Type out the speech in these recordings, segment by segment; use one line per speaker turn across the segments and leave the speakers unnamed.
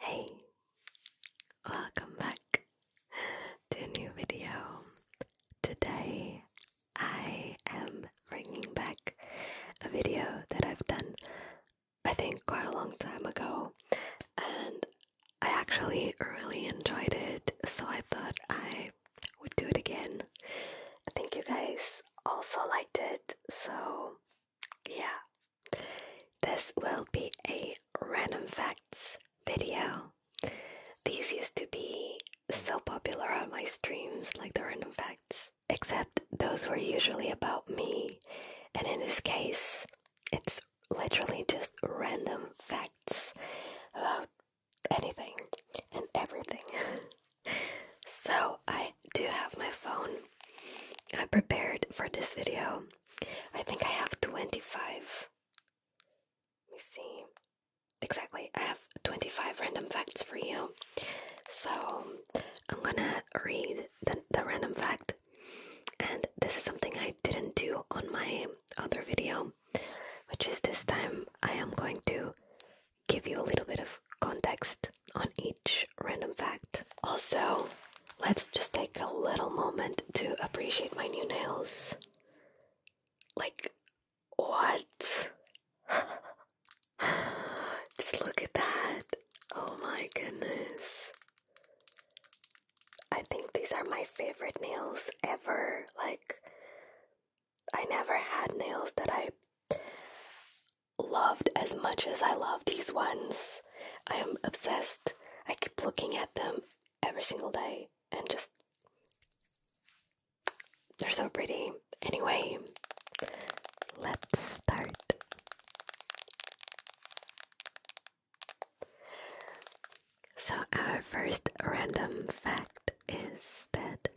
Hey, welcome back to a new video. Today I am bringing back a video that I've done, I think, quite a long time ago, and I actually really enjoyed it, so I thought I I would do it again. I think you guys also liked it, so yeah. This will be a random facts video. These used to be so popular on my streams, like the random facts, except those were usually about me, and in this case, it's literally just random facts about anything and everything. so, I do have my phone. I prepared for this video. I think I have 25. Let me see. Exactly, I have 25 random facts for you. So, I'm gonna read the, random fact, and this is something I didn't do on my other video which is this time I am going to give you a little bit of context on each random fact. Also, let's just take a little moment to appreciate my new nails. Like, what? just look at that. Oh my goodness. I think these are my favorite nails ever. Like, I never had nails that I loved as much as I love these ones. I am obsessed. I keep looking at them every single day and just. They're so pretty. Anyway, let's start. So, our first random fact is that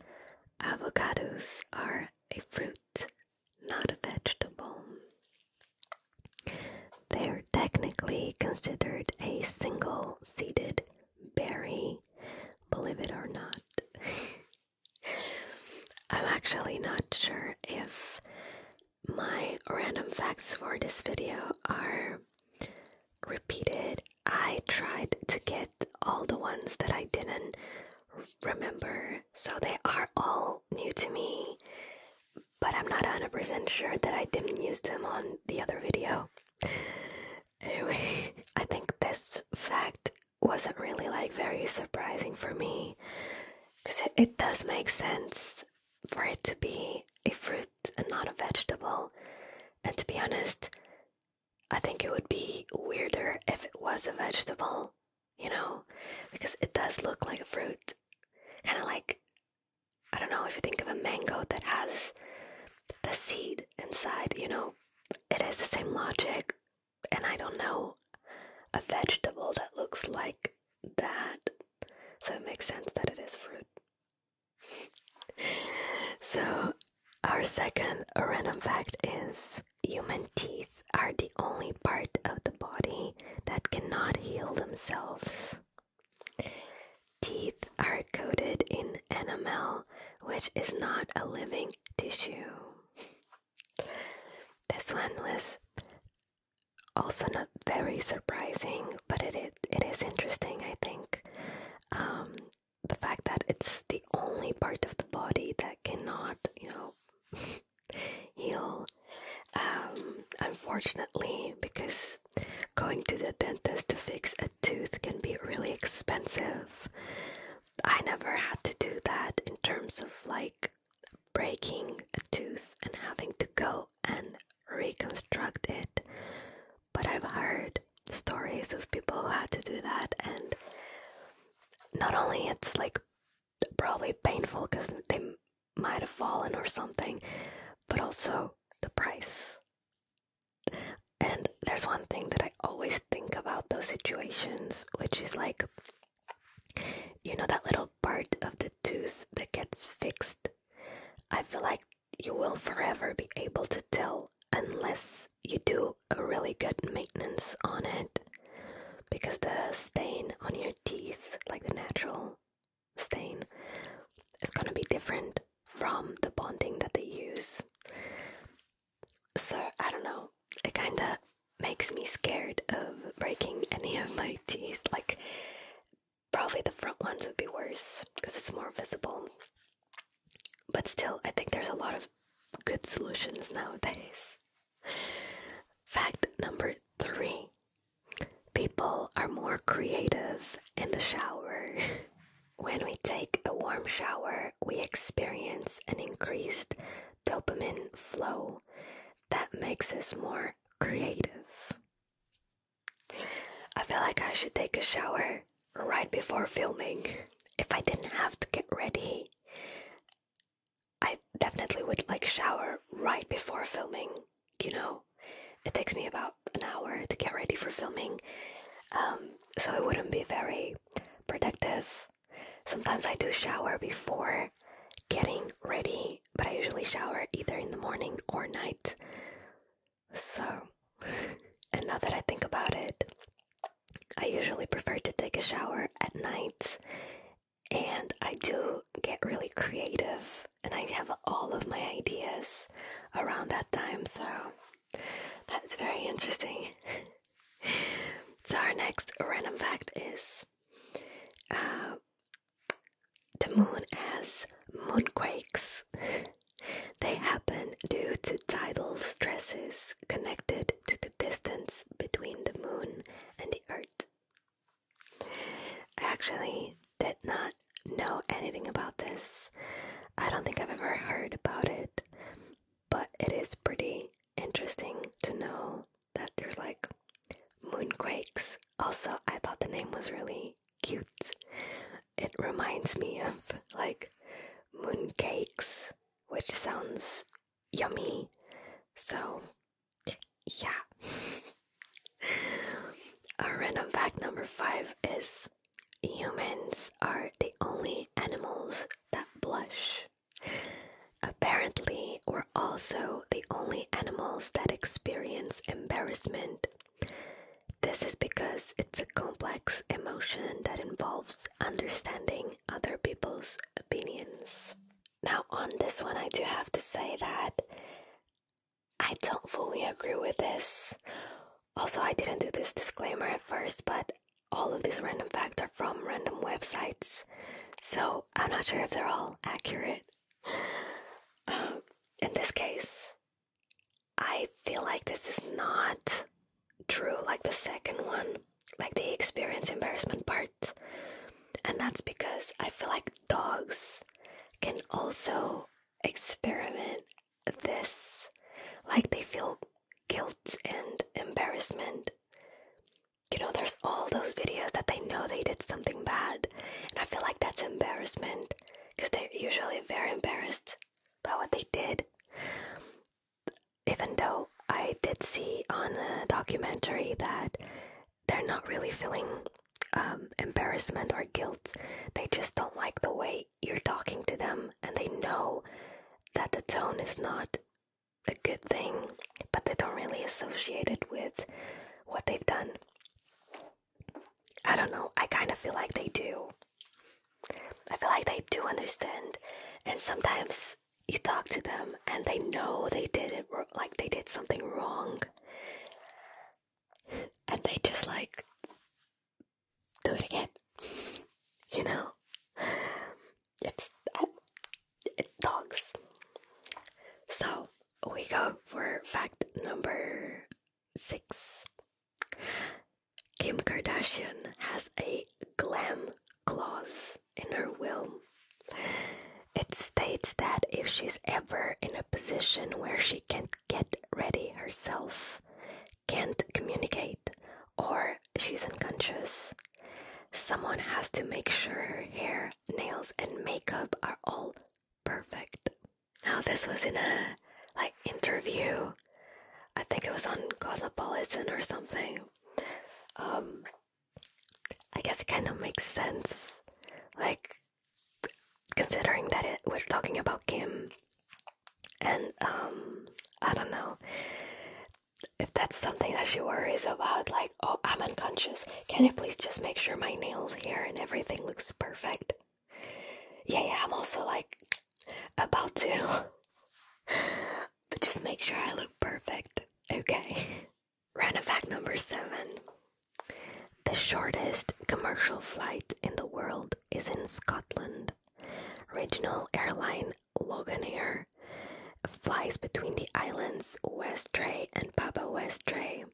avocados are a fruit, not a vegetable. They're technically considered a single seeded berry, believe it or not. I'm actually not sure if my random facts for this video are repeated. I tried to get all the ones that I didn't remember, so they are all new to me, but I'm not 100% sure that I didn't use them on the other video. Anyway, I think this fact wasn't really like very surprising for me because it does make sense for it to be a fruit and not a vegetable. And to be honest, I think it would be weirder if it was a vegetable, you know, because it does look like a fruit. Kind of like, I don't know, if you think of a mango that has the seed inside, you know, it is the same logic. And I don't know a vegetable that looks like that. So it makes sense that it is fruit so, our second random fact is human teeth are the only part of the body that cannot heal themselves. Teeth are coated in enamel, which is not a living tissue. This one was also not very surprising, but it, it is interesting, I think. Um, the fact that it's the only part of the body that cannot, you know, heal. Um, unfortunately, because going to the dentist to fix a tooth can be really expensive. I never had to do that in terms of like breaking a tooth and having to go and reconstruct it but I've heard stories of people who had to do that, and not only it's like probably painful because they might have fallen or something, but also the price. And there's one thing that I always think about those situations, which is like, you know, that little part of the tooth that gets fixed. I feel like you will forever be able to tell unless you do a really good maintenance on it because the stain on your teeth, like the natural stain, is going to be different from the bonding that they use. So, I don't know, it kind of makes me scared of breaking any of my teeth. Like, probably the front ones would be worse because it's more visible. But still, I think there's a lot of good solutions nowadays. Fact number three people are more creative in the shower. when we take a warm shower, we experience an increased dopamine flow that makes us more creative. I feel like I should take a shower right before filming. If I didn't have to get ready, I definitely would like shower right before filming, you know. It takes me about an hour to get ready for filming. Um, so it wouldn't be very productive. Sometimes I do shower before getting ready, but I usually shower either in the morning or night. So, and now that I think about it, I usually prefer to take a shower at night, and I do get really creative, and I have all of my ideas around that time, so that's very interesting. so, our next random fact is uh, the moon has moonquakes. They happen due to tidal stresses connected to the distance between the moon and the earth. I actually did not know anything about this. I don't think I've ever heard about it, but it is pretty interesting to know that there's like moonquakes. Also, I thought the name was really cute it reminds me of like mooncakes, which sounds yummy. So, yeah. A random fact number five is humans are the only animals that blush. Apparently, we're also the only animals that experience embarrassment. This is because it's a complex emotion that involves understanding other people's opinions. Now, on this one, I do have to say that I don't fully agree with this. Also, I didn't do this disclaimer at first, but all of these random facts are from random websites, so I'm not sure if they're all accurate. Um, in this case, I feel like this is not true like the second one, like the experience embarrassment part. And that's because I feel like dogs can also experiment this. Like they feel guilt and embarrassment. You know, there's all those videos that they know they did something bad. And I feel like that's embarrassment because they're usually very embarrassed by what they did even though I did see on a documentary that they're not really feeling um, embarrassment or guilt, they just don't like the way you're talking to them and they know that the tone is not a good thing, but they don't really associate it with what they've done. I don't know, I kind of feel like they do. I feel like they do understand, and sometimes you talk to them and they know they did it like they did something wrong, and they just like do it again. You know, it's it dogs. So we go for fact number six. Kim Kardashian has a glam clause in her will. It states that if she's ever in a position where she can't get ready herself, can't communicate, or she's unconscious, someone has to make sure her hair, nails, and makeup are all perfect. Now, this was in a like interview. I think it was on Cosmopolitan or something. Um, I guess it kind of makes sense, like considering that we're talking about Kim, and um, I don't know if that's something that she worries about. Like, oh, I'm unconscious. Can you please just make sure my nails here and everything looks perfect? Yeah, yeah. I'm also like about to. but just make sure I look perfect, okay? Random fact number seven The shortest commercial flight in the world is in Scotland. Regional airline Loganair flies between the islands Westray and Papa Westray.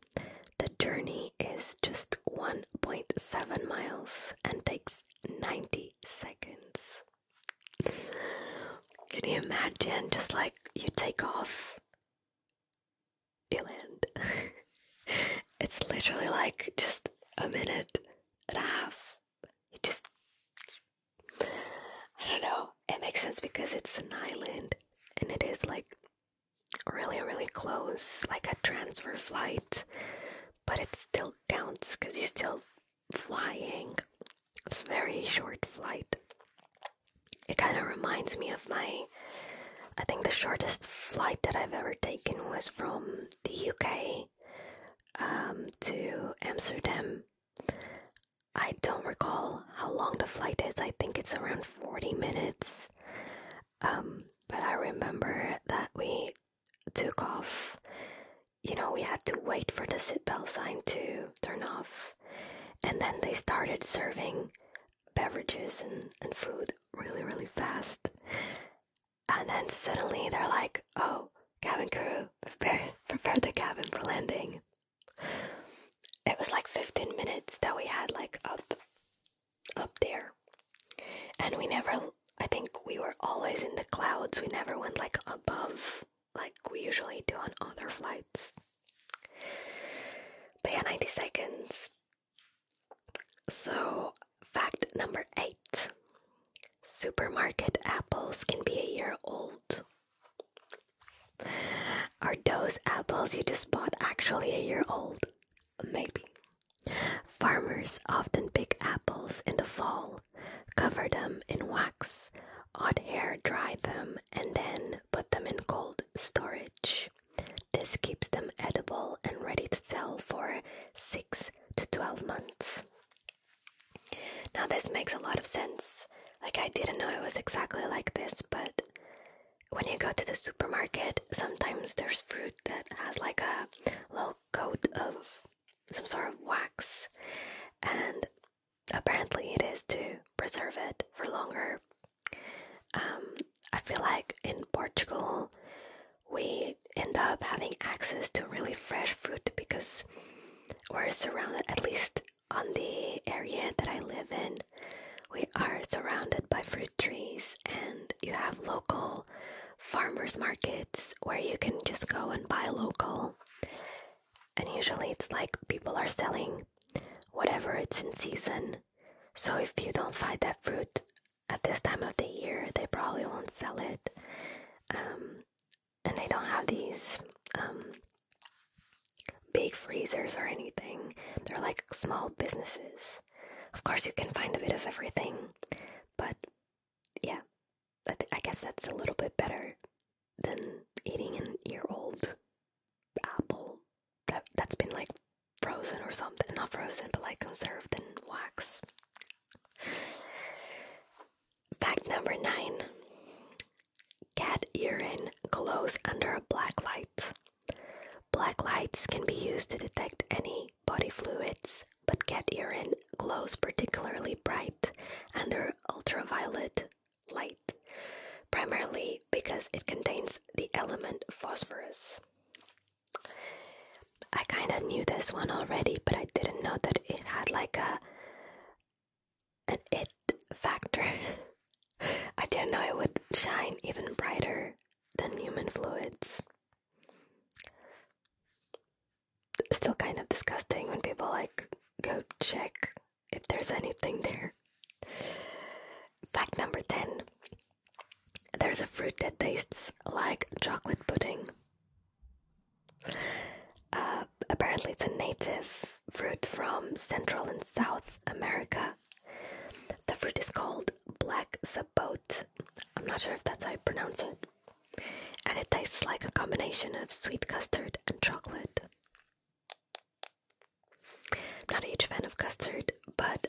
The journey is just 1.7 miles and takes 90 seconds. Can you imagine? Just like you take off, you land. it's literally like just a minute and a half. You just. I don't know. It makes sense because it's an island and it is like really, really close, like a transfer flight but it still counts because he's still flying. It's very short flight. It kind of reminds me of my. I think the shortest flight that I've ever taken was from the UK um, to Amsterdam. I don't recall how long the flight is. I think it's around 40 minutes. Um, but I remember that we took off, you know, we had to wait for the seatbelt sign to turn off. And then they started serving beverages and, and food really, really fast. And then suddenly they're like, oh, cabin crew, prepare the cabin for landing. It was like 15 minutes that we had like up, up there. And we never I think we were always in the clouds. We never went like above like we usually do on other flights. But yeah, 90 seconds. So, fact number eight supermarket apples can be a year old. Are those apples you just bought actually a year old? Maybe. Farmers often pick apples in the fall, cover them in wax, hot air dry them, and then put them in cold storage. This keeps them edible and ready to sell for 6 to 12 months. Now, this makes a lot of sense. Like, I didn't know it was exactly like this, but when you go to the supermarket, sometimes there's fruit that has like a little coat of some sort of wax, and apparently it is to preserve it for longer. Um, I feel like in Portugal we end up having access to really fresh fruit because we're surrounded, at least on the area that I live in, we are surrounded by fruit trees, and you have local farmers markets where you can just go and buy local. And usually it's like people are selling whatever it's in season. So if you don't find that fruit at this time of the year, they probably won't sell it. Um, and they don't have these um, big freezers or anything. They're like small businesses. Of course, you can find a bit of everything, but yeah, I, guess that's a little bit better than eating an year old apple that, that's been like frozen or something. Not frozen, but like conserved in wax. Fact number nine cat urine glows under a black light. Black lights can be used to detect any body fluids, but cat urine glows particularly bright under ultraviolet light, primarily because it contains the element phosphorus. I kind of knew this one already, but I didn't know that it had like a an it factor. I didn't know it would shine even brighter than human fluids still kind of disgusting when people like go check if there's anything there. Fact number 10 there's a fruit that tastes like chocolate pudding. Uh, apparently, it's a native fruit from Central and South America. The fruit is called black sapote. I'm not sure if that's how you pronounce it and it tastes like a combination of sweet custard and chocolate. I'm not a huge fan of custard, but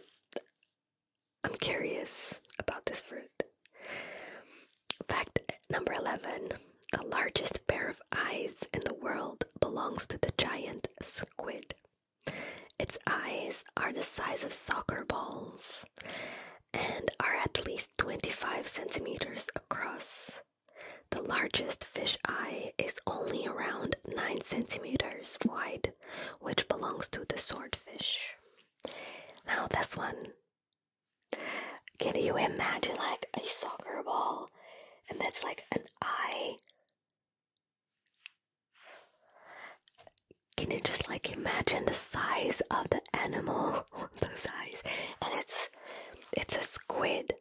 I'm curious about this fruit. Fact number 11 The largest pair of eyes in the world belongs to the giant squid. Its eyes are the size of soccer balls and are at least 25 centimeters across. The largest fish eye is only around 9 centimeters wide, which belongs to the swordfish. Now, this one. Can you imagine like a soccer ball and that's like an eye? Can you just like imagine the size of the animal those eyes. And it's it's a squid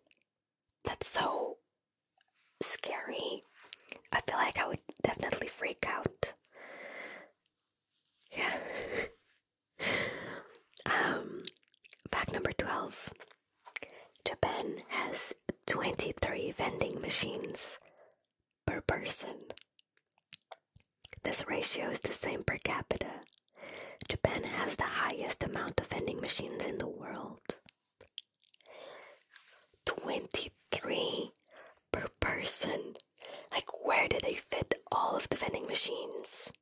that's so scary. I feel like I would definitely freak out. Yeah. um fact number 12. Japan has 23 vending machines per person. This ratio is the same per capita. Japan has the highest amount of vending machines in the world. 23 per person. Like, where do they fit all of the vending machines?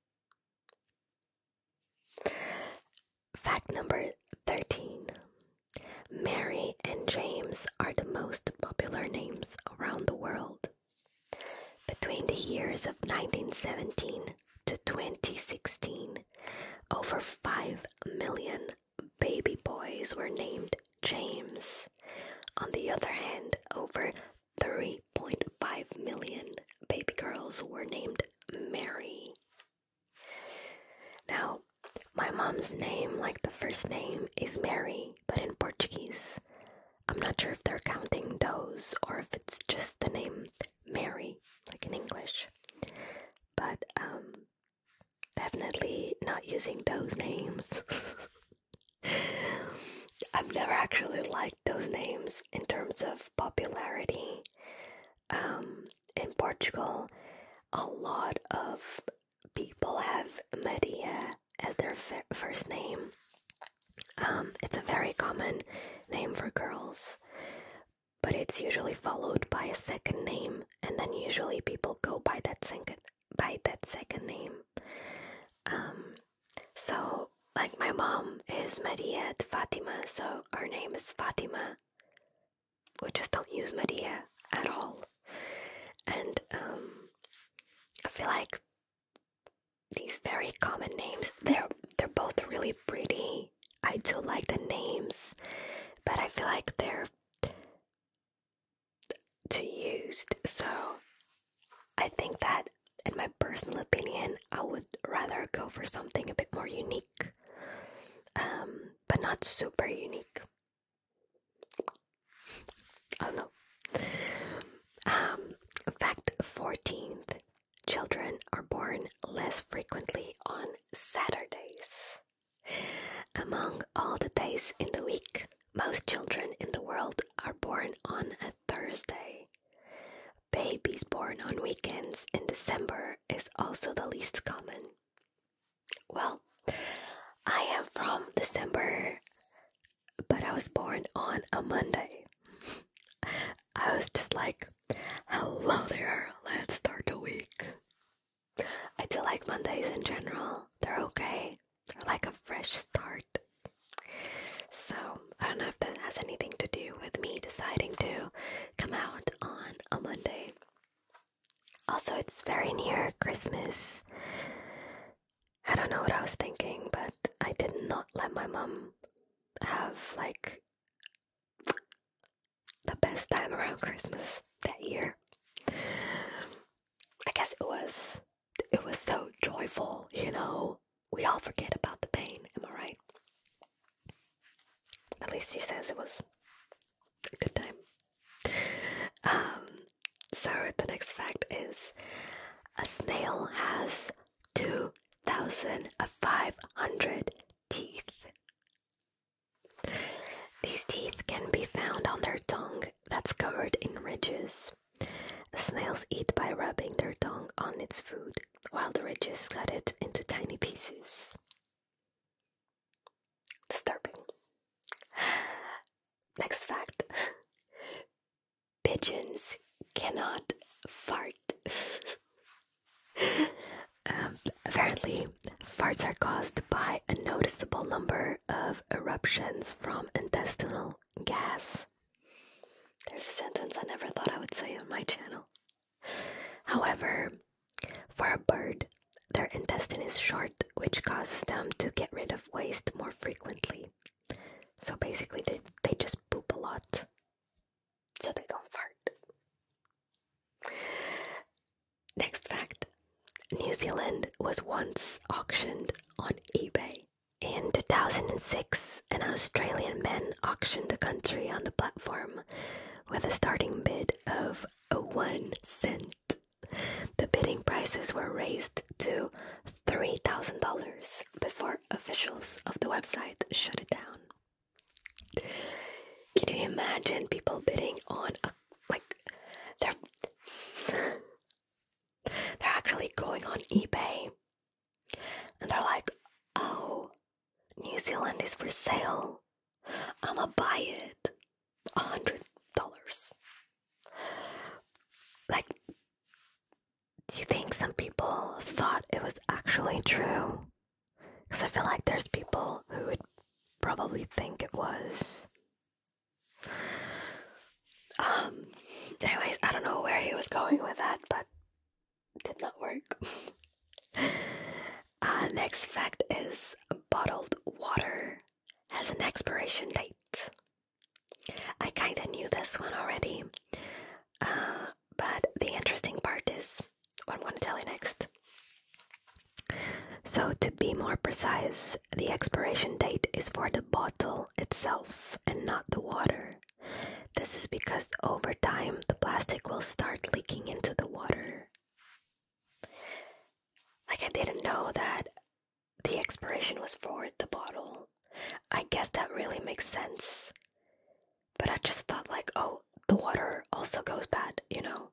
Fact number 13 Mary and James are the most popular names around the world. Between the years of 1917 to 2016, over 5 million baby boys were named James. On the other hand, over 3.5 million baby girls were named Mary. Now, my mom's name, like the first name, is Mary, but in Portuguese. I'm not sure if they're counting those or if it's just the name Mary, like in English. But um, definitely not using those names. I've never actually liked those names in terms of popularity. Um, in Portugal, a lot of people have Maria as their first name. Um, it's a very common name for girls, but it's usually followed by a second name, and then usually people go by that second by that second name. Um, so, like my mom is Maria Fatima, so her name is Fatima. We just don't use Maria at all, and um, I feel like these very common names. They're they're both really pretty. I do like the names, but I feel like they're too used. So I think that in my personal opinion, I would rather go for something a bit more unique. Um, but not super unique. I know. Um, fact 14th children are born less frequently on Saturdays. Among all the days in the week, most children in the world are born on a Thursday. Babies born on weekends in December is also the least common. Well, I am from December but I was born on a Monday. I was just like, hello there, let's start the week. I do like Mondays in general, they're okay, they like a fresh start. So, I don't know if that has anything to do with me deciding to come out on a Monday. Also, it's very near Christmas, I don't know what I was thinking, but I did not let my mom have like the best time around Christmas that year. I guess it was it was so joyful, you know. We all forget about the pain, am I right? At least she says it was a good time. Um, so the next fact is a snail has 2,500 teeth. These teeth can be found on their tongue that's covered in ridges. Snails eat by rubbing their tongue on its food, while the ridges cut it into tiny pieces. Disturbing. Next fact pigeons cannot fart. Um, apparently, farts are caused by a noticeable number of eruptions from intestinal gas. There's a sentence I never thought I would say on my channel. However, for a bird, their intestine is short, which causes them to get rid of waste more frequently. So basically, they, they just poop a lot so they don't fart. Next fact New Zealand was once auctioned on eBay. In 2006, an Australian man auctioned the country on the platform with a starting bid of a one cent. The bidding prices were raised to $3,000 before officials of the website shut it down. Can you imagine people bidding on a like they're they're actually going on eBay and they're like, "Oh, New Zealand is for sale. I'ma buy it. A hundred dollars." Like do you think some people thought it was actually true? Because I feel like there's people who would probably think it was. Um, anyways, I don't know where he was going with that, but did not work. uh, next fact is bottled water has an expiration date. I kind of knew this one already, uh, but the interesting part is what I'm going to tell you next. So, to be more precise, the expiration date is for the bottle itself and not the water. This is because over time the plastic will start leaking into the water. Like, I didn't know that the expiration was for the bottle. I guess that really makes sense. But I just thought, like, oh, the water also goes bad, you know?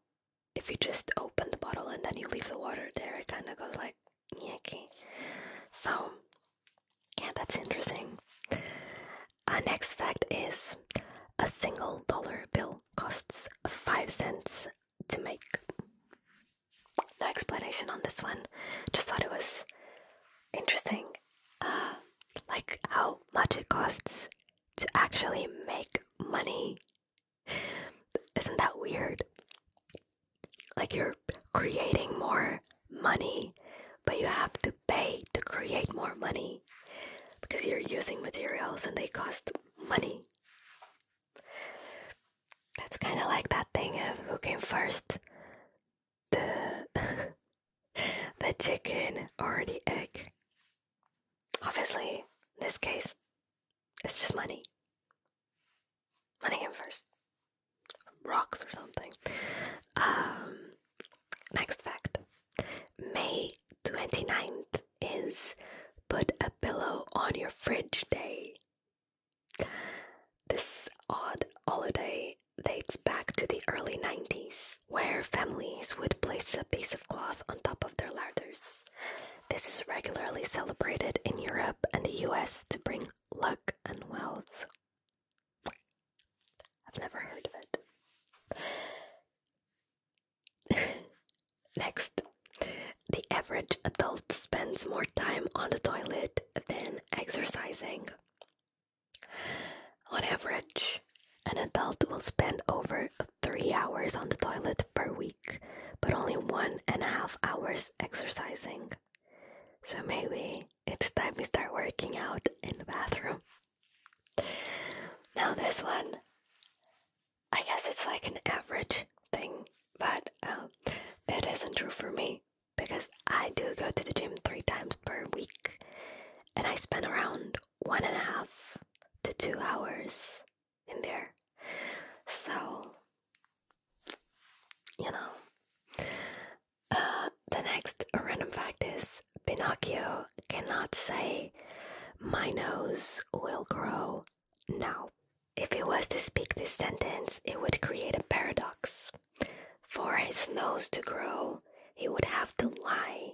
If you just open the bottle and then you leave the water there, it kind of goes like, yucky. So, yeah, that's interesting. Our next fact is a single dollar bill costs five cents to make. No explanation on this one, just thought it was interesting. Uh, like how much it costs to actually make money. Isn't that weird? Like you're creating more money, but you have to pay to create more money because you're using materials and they cost money. That's kind of like that thing of who came first the the chicken or the egg. Obviously, in this case, it's just money. Money came first. Rocks or something. Um, next fact. May 29th is put a pillow on your fridge day. This odd holiday dates back to the early 90s, where families would place a piece of cloth on top of their ladders. This is regularly celebrated in Europe and the US to bring luck and wealth. I've never heard of it. Next, the average adult spends more time on the toilet than exercising. On average, an adult will spend over three hours on the toilet per week, but only one and a half hours exercising. So maybe it's time we start working out in the bathroom. Now, this one, I guess it's like an average thing, but um, it isn't true for me because I do go to the gym three times per week and I spend around one and a half to two hours in there. So, you know. Uh, the next random fact is Pinocchio cannot say, My nose will grow now. If he was to speak this sentence, it would create a paradox. For his nose to grow, he would have to lie.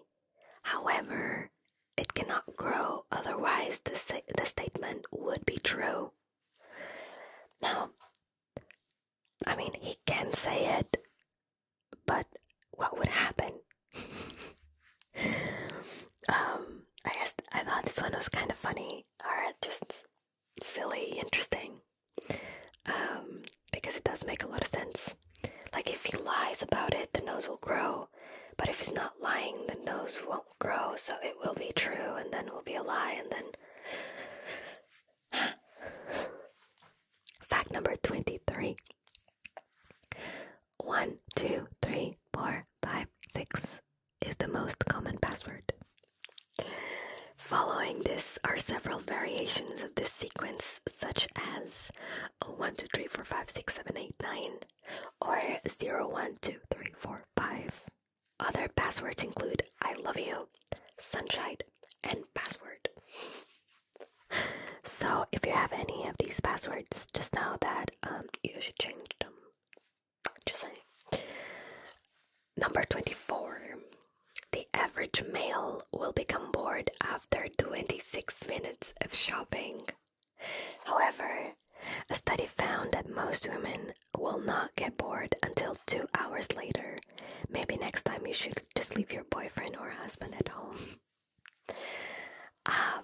However, it cannot grow, otherwise, the, statement would be true. Now, I mean, he can say it, but what would happen? um, I guess I thought this one was kind of funny, or just silly, interesting. Um, because it does make a lot of sense. Like, if he lies about it, the nose will grow. But if he's not lying, the nose won't grow, so it will be true, and then will be a lie, and then. Fact number 23 1, 2, 3, 4, 5, 6 is the most common password. Following this are several variations of this sequence, such as 1, 2, 3, 4, 5, 6, 7, 8, 9, or 0, 1, 2, 3, 4, 5. Other passwords include I love you, sunshine, and password. So, if you have any of these passwords, just know that um, you should change them. Just saying. Number 24. The average male will become bored after 26 minutes of shopping. However, a study found that most women will not get bored until two hours later. Maybe next time you should just leave your boyfriend or husband at home. Uh,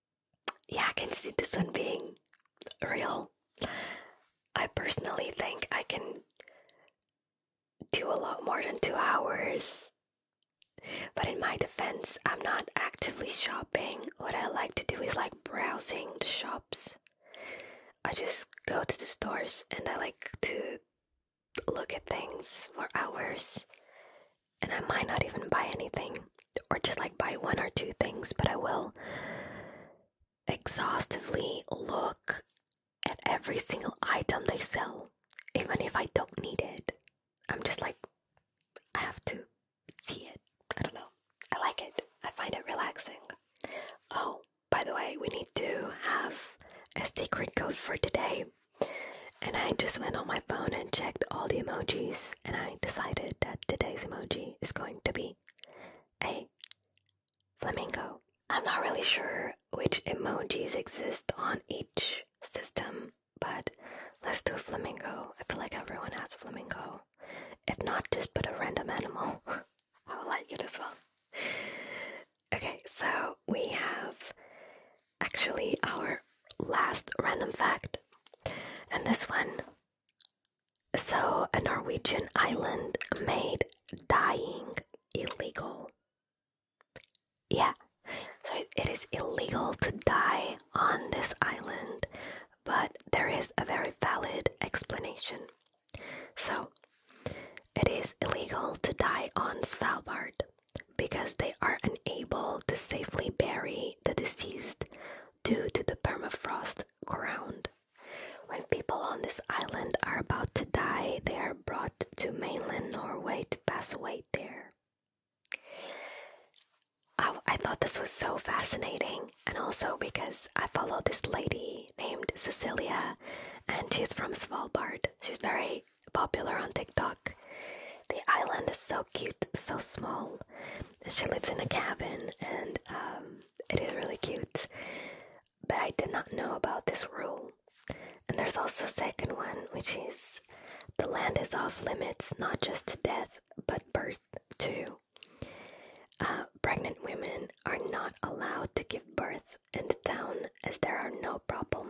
yeah, I can see this one being real. I personally think I can do a lot more than two hours. But in my defense, I'm not actively shopping. What I like to do is like browsing the shops. I just go to the stores and I like to look at things for hours. And I might not even buy anything or just like buy one or two things, but I will exhaustively look at every single item they sell, even if I don't need it. I'm just like, I have to see it. I don't know. I like it. I find it relaxing. Oh, by the way, we need to have a secret code for today. And I just went on my phone and checked all the emojis, and I decided that today's emoji is going to be a Flamingo. I'm not really sure which emojis exist on each system, but let's do flamingo. I feel like everyone has flamingo. If not, just put a random animal. I would like it as well. Okay, so we have actually our last random fact. And this one so, a Norwegian island made dyeing illegal. Yeah, so it is illegal to die on this island, but there is a very valid explanation. So, it is illegal to die on Svalbard because they are unable to safely bury the deceased due to the permafrost ground. When people on this island are about to die, they are brought to mainland Norway to pass away there. Oh, I, thought this was so fascinating, and also because I follow this lady named Cecilia, and she's from Svalbard. She's very popular on TikTok. The island is so cute, so small. she lives in a cabin, and um, it is really cute but I did not know about this rule. And there's also a second one, which is the land is off limits not just to death but birth too. Uh, pregnant women are not allowed to give birth in the town as there are no proper,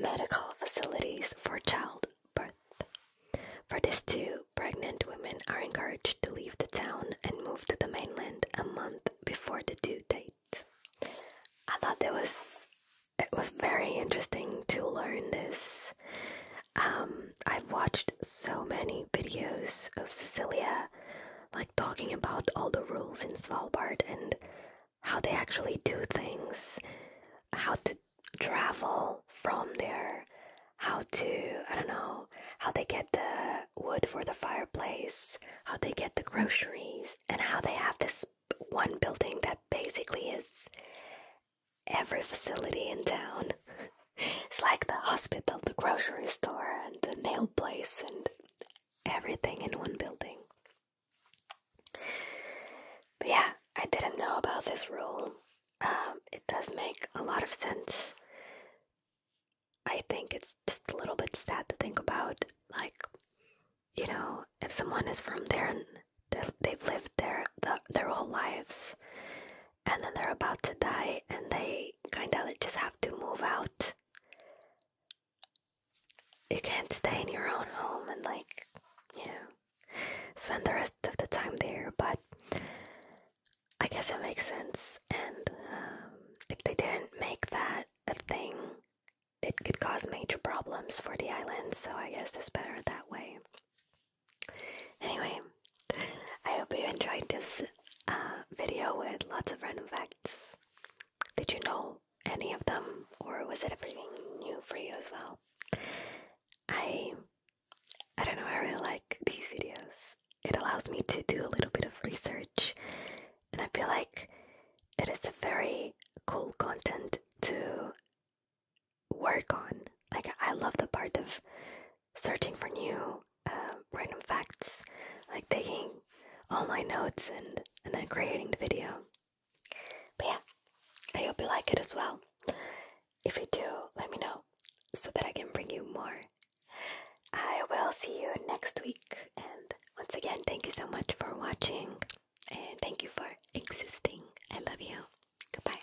medical facilities for childbirth. For this two, pregnant women are encouraged to leave the town and move to the mainland a month before the due date. I thought it was it was very interesting to learn this. Um, I've watched so many videos of Cecilia, like talking about all the rules in Svalbard and how they actually do things, how to travel from there, how to, I don't know, how they get the wood for the fireplace, how they get the groceries, and how they have this one building that basically is every facility in town. it's like the hospital, the grocery store, and the nail place, and everything in one building. But yeah, I didn't know about this rule. Um, it does make a lot of sense. I think it's just a little bit sad to think about. Like, you know, if someone is from there and they've lived there their whole lives, and then they're about to die, and they kind of just have to move out. You can't stay in your own home and, like, you know, spend the rest of the time there. But I guess it makes sense. And um, if they didn't make that a thing, it could cause major problems for the island. So I guess it's better that way. Anyway, I hope you enjoyed this uh, video with lots of random facts. Did you know any of them, or was it everything new for you as well? I I don't know. I really like these videos it allows me to do a little bit of research and I feel like it is a very cool content to work on. Like, I love the part of searching for new uh, random facts, like taking all my notes and, and then creating the video. But yeah, I hope you like it as well. If you do, let me know so that I can bring you more I will see you next week. And once again, thank you so much for watching and thank you for existing. I love you. Goodbye.